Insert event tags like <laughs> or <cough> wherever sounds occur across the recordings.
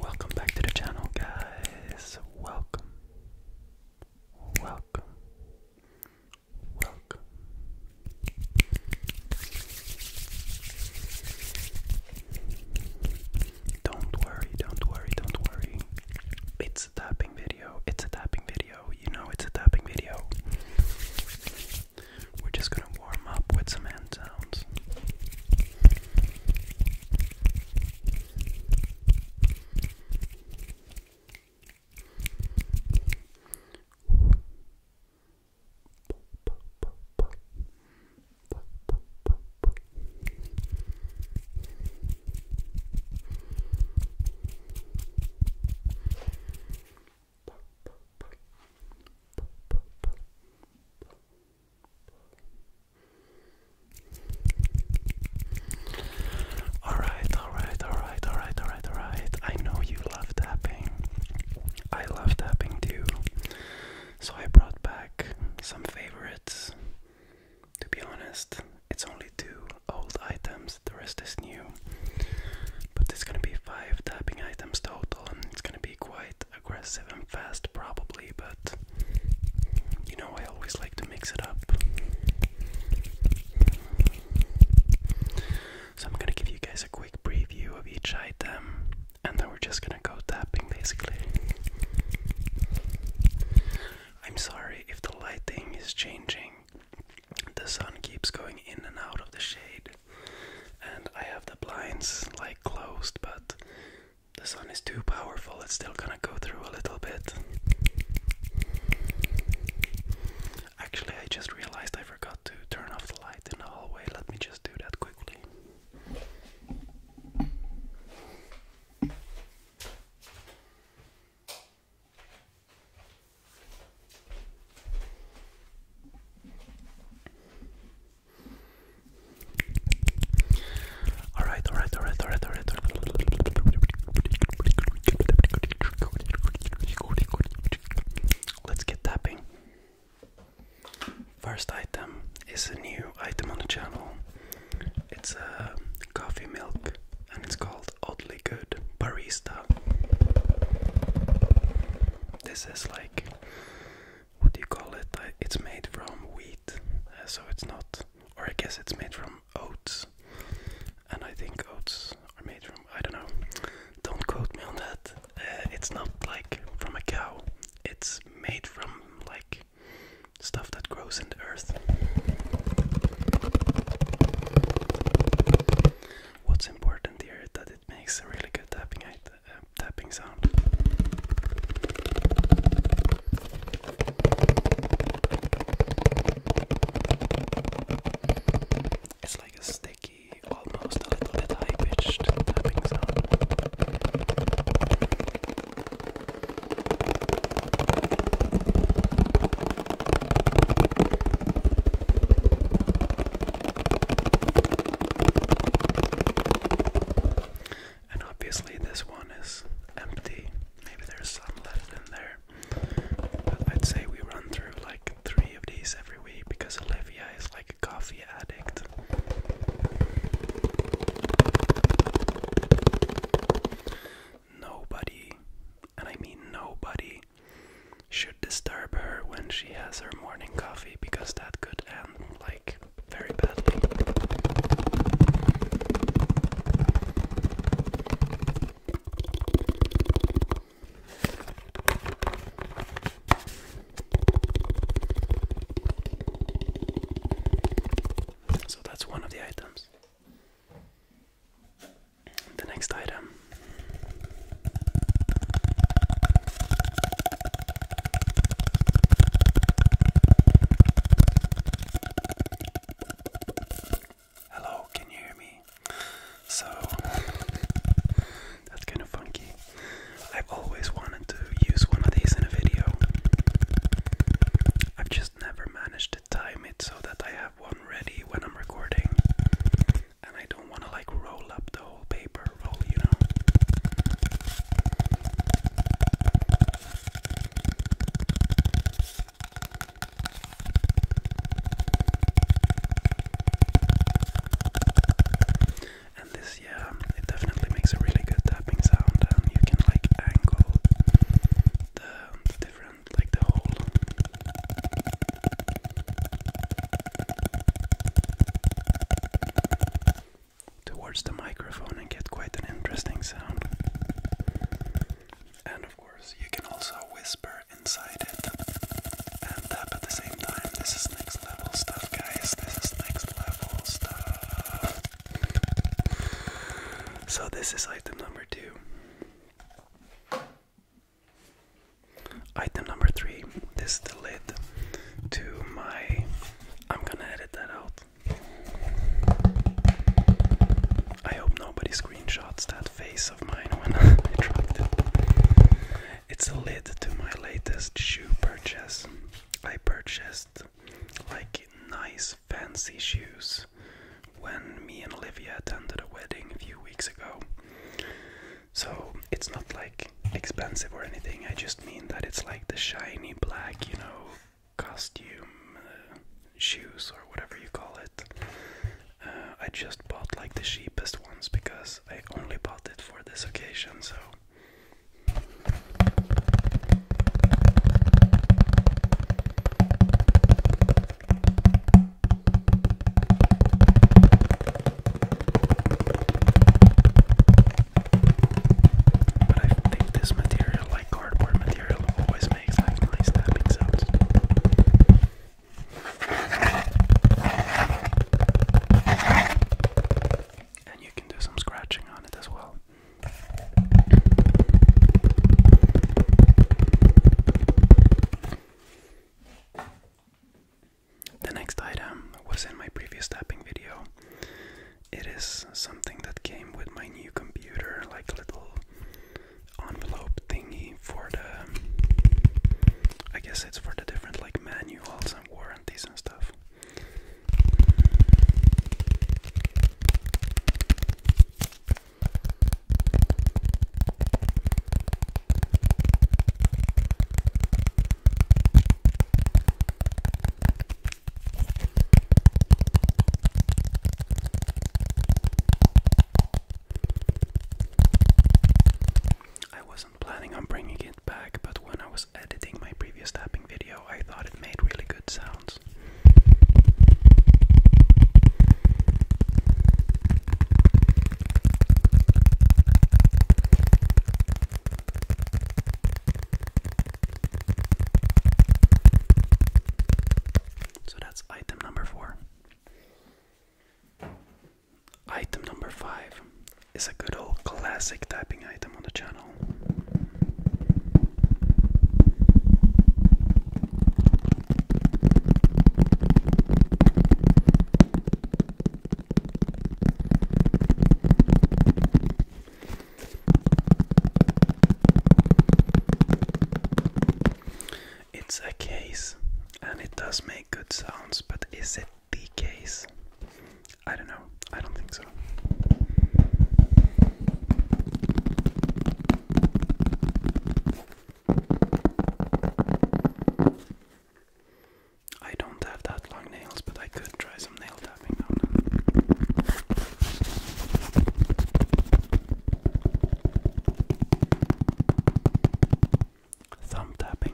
Welcome back to the channel, guys. Welcome, welcome, welcome. Don't worry, don't worry, don't worry. It's a tapping video. It's a tapping video. You know it's a tapping video. We're just gonna warm up with some hand sounds. Alright, alright, alright, alright, alright, alright. I know you love tapping. I love tapping too. So I brought back some favorites to be honest, it's only two old items, the rest is new. But there's gonna be five tapping items total, and it's gonna be quite aggressive and fast, probably. But you know, I always like to mix it up. So I'm gonna give you guys a quick preview of each item, and then we're just gonna go tapping basically. I'm sorry if the lighting is changing. The sun keeps going in and out of the shade, and I have the blinds like closed, but the sun is too powerful, it's still gonna go through a little bit. Actually, I just realized I forgot to turn off the light in the hallway. Let me just do that quickly. All right, all right, all right, all right, all right. Let's get tapping. First item is a new item on the channel. It's a uh, coffee milk and it's called Oddly Good Barista. This is like what do you call it? it's made from wheat, uh, so it's not, or I guess it's made from oats. And I think oats are made from, I don't know, don't quote me on that. Uh, it's not like from a cow, it's made from like stuff that grows in the earth. What's important here is that it makes a really good tapping uh, sound. It's like a sticky, almost a little bit high pitched tapping sound. And obviously, this one is empty. Maybe there's some left in there. But I'd say we run through like three of these every week because Olivia is like a coffee addict. Nobody, and I mean nobody, should disturb her when she has her morning coffee because that could end like very badly. So that's one of the items. The next item Hello, can you hear me? So that's kind of funky. I've always wanted to use one of these in a video. I've just just never manage to time it so that I have one ready when I'm recording. And I don't want to like roll up the whole paper roll, you know. And this, yeah, it definitely makes a really good you can like angle the, different like the whole towards the microphone and get quite an interesting sound. And of course, you can also whisper inside it and tap at the same time. This is next level stuff, guys. This is next level stuff. So, this is item number two. Item number three this is the lid to my. I'm gonna edit that out. I hope nobody screenshots that face of mine when <laughs> I dropped it. It's a lid to my latest shoe purchase. I purchased like nice fancy shoes when me and Olivia attended a wedding a few weeks ago. So it's not like expensive or anything, I just mean that it's like the shiny black, you know, costume uh, shoes or whatever you call it. Uh, I just bought like the cheapest ones because I only bought it for this occasion, so but I think this material, like cardboard material, always makes like nice tapping sounds and you can do some scratching on it as well. The next item was in my previous tapping video. It is something that came with my new computer, like little envelope thingy for the I guess it's for the different like manuals and warranties and stuff. I wasn't planning on bringing it back, but when I was editing my previous tapping video, ago, I thought it made really good sounds. So that's item number four. Item number five is a good old classic typing item on the channel. It's a case and it does make good sounds, but is it the case? I don't know. I don't think so. I don't have that long nails, but I could try some nail tapping now. Thumb tapping.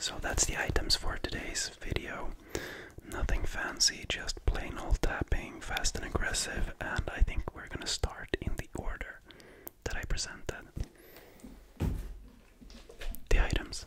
So that's the items for today's video. Nothing fancy, just plain old tapping, fast and aggressive, and I think we're gonna start in the order that I presented the items.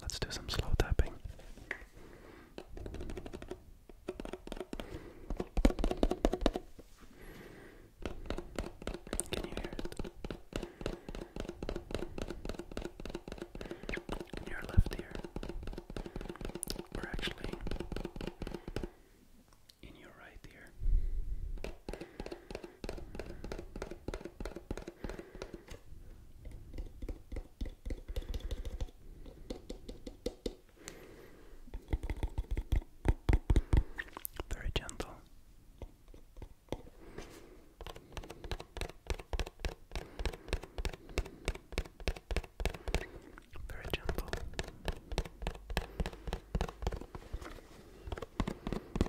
Let's do some slow tapping. In your left ear, or actually in your right ear. Very gentle. Very gentle.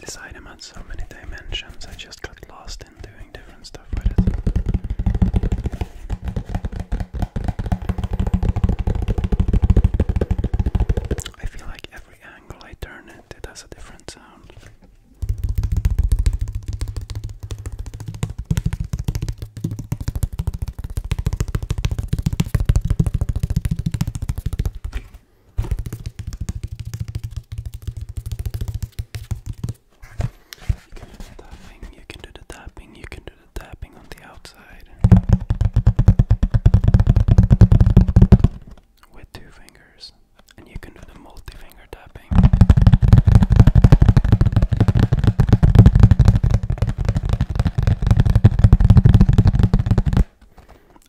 This item had so many dimensions, I just got lost in doing different stuff with it. I feel like every angle I turn it, it has a different sound. You can do the tapping, you can do the tapping, you can the tapping on the outside with two fingers, and you can do the multi finger tapping.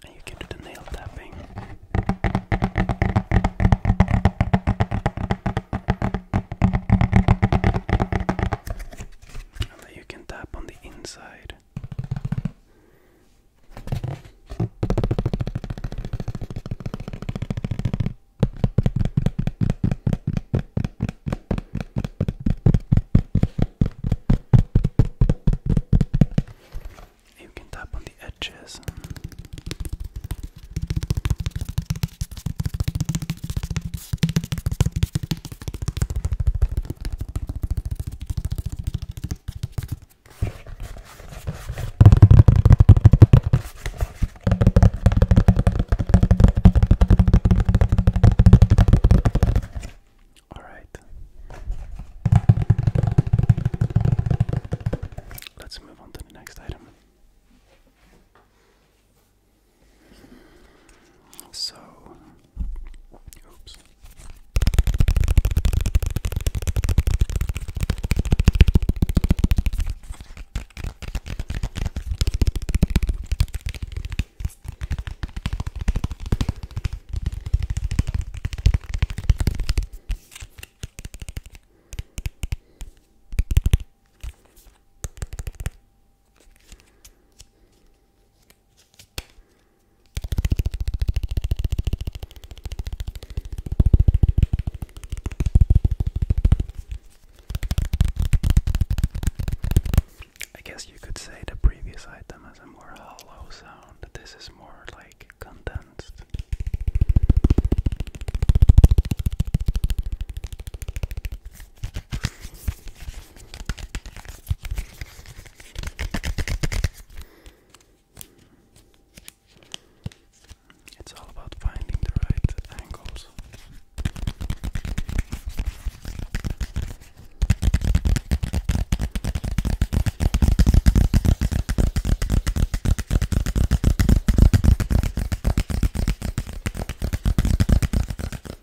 And you can do the nail tapping you can tap on the inside. You can tap on the edges. All right. Let's move on to the next item. So, oops. I guess you could say the previous item has a more hollow sound. This is more like condensed. It's all about finding the right angles.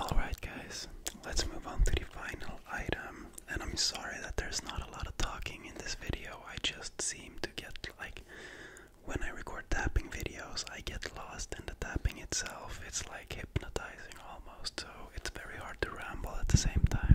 Alright, guys, let's move on to the final item. And I'm sorry that there's not a lot of talking in this video. I just seem to get like when I record tapping videos, I get lost in the tapping itself. It's like hypnotizing almost, so it's very hard hard to ramble at the same time.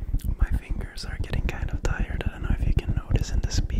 My fingers are getting kind of tired. I don't know if you can notice in the speed.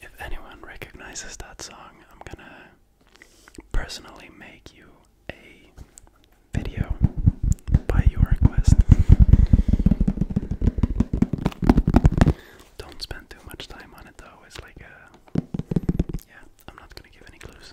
If anyone recognizes that song, I'm gonna personally make you a video by your request. Don't spend too much time on it though, it's like a. Yeah. I'm not going to give any clues.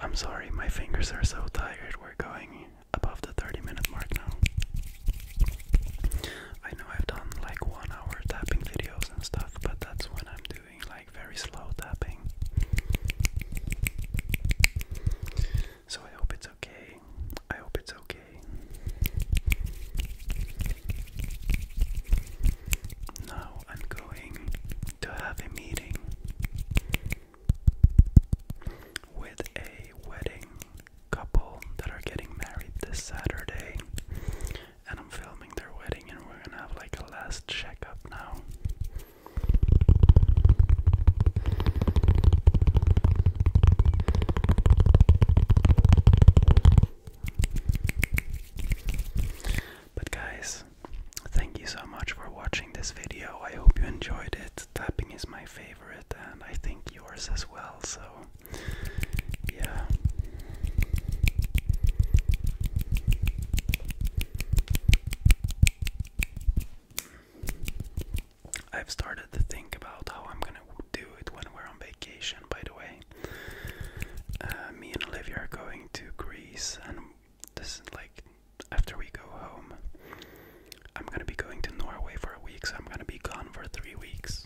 I'm sorry, my fingers are so tired. We're going above the 30 minute mark now. I know I've done like one hour tapping videos and stuff, but that's when I'm doing like very slow tapping. So I hope it's okay. I hope it's okay. Now I'm going to have a meeting with a wedding couple that are getting married this Saturday and I'm filming their wedding, and we're gonna have like a last checkup now. But, guys, thank you so much for watching this video. I hope you enjoyed it. Tapping is my favorite, and I think yours as well. So, yeah. I've started to think about how I'm gonna do it when we're on vacation, by the way. Uh, me and Olivia are going to Greece, and this is like after we go home, I'm gonna be going to Norway for a week, so I'm gonna be gone for three weeks.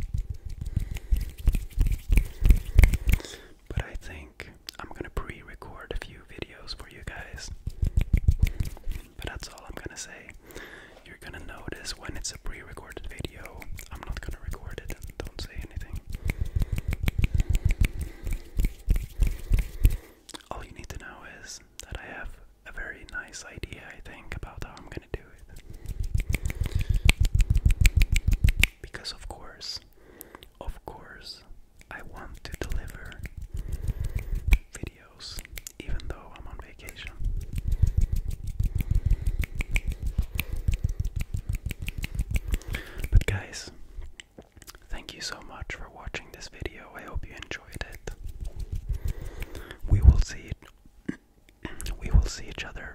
But I think I'm gonna pre record a few videos for you guys. But that's all I'm gonna say. You're gonna notice when it's a pre recorded video, I'm not gonna record it don't say anything. All you need to know is that I have a very nice idea, I think, about how I'm gonna because, of course, of course, I want to deliver videos even though I'm on vacation. But, guys, thank you so much for watching this video. I hope you enjoyed it. We will see it. <clears throat> We will see each other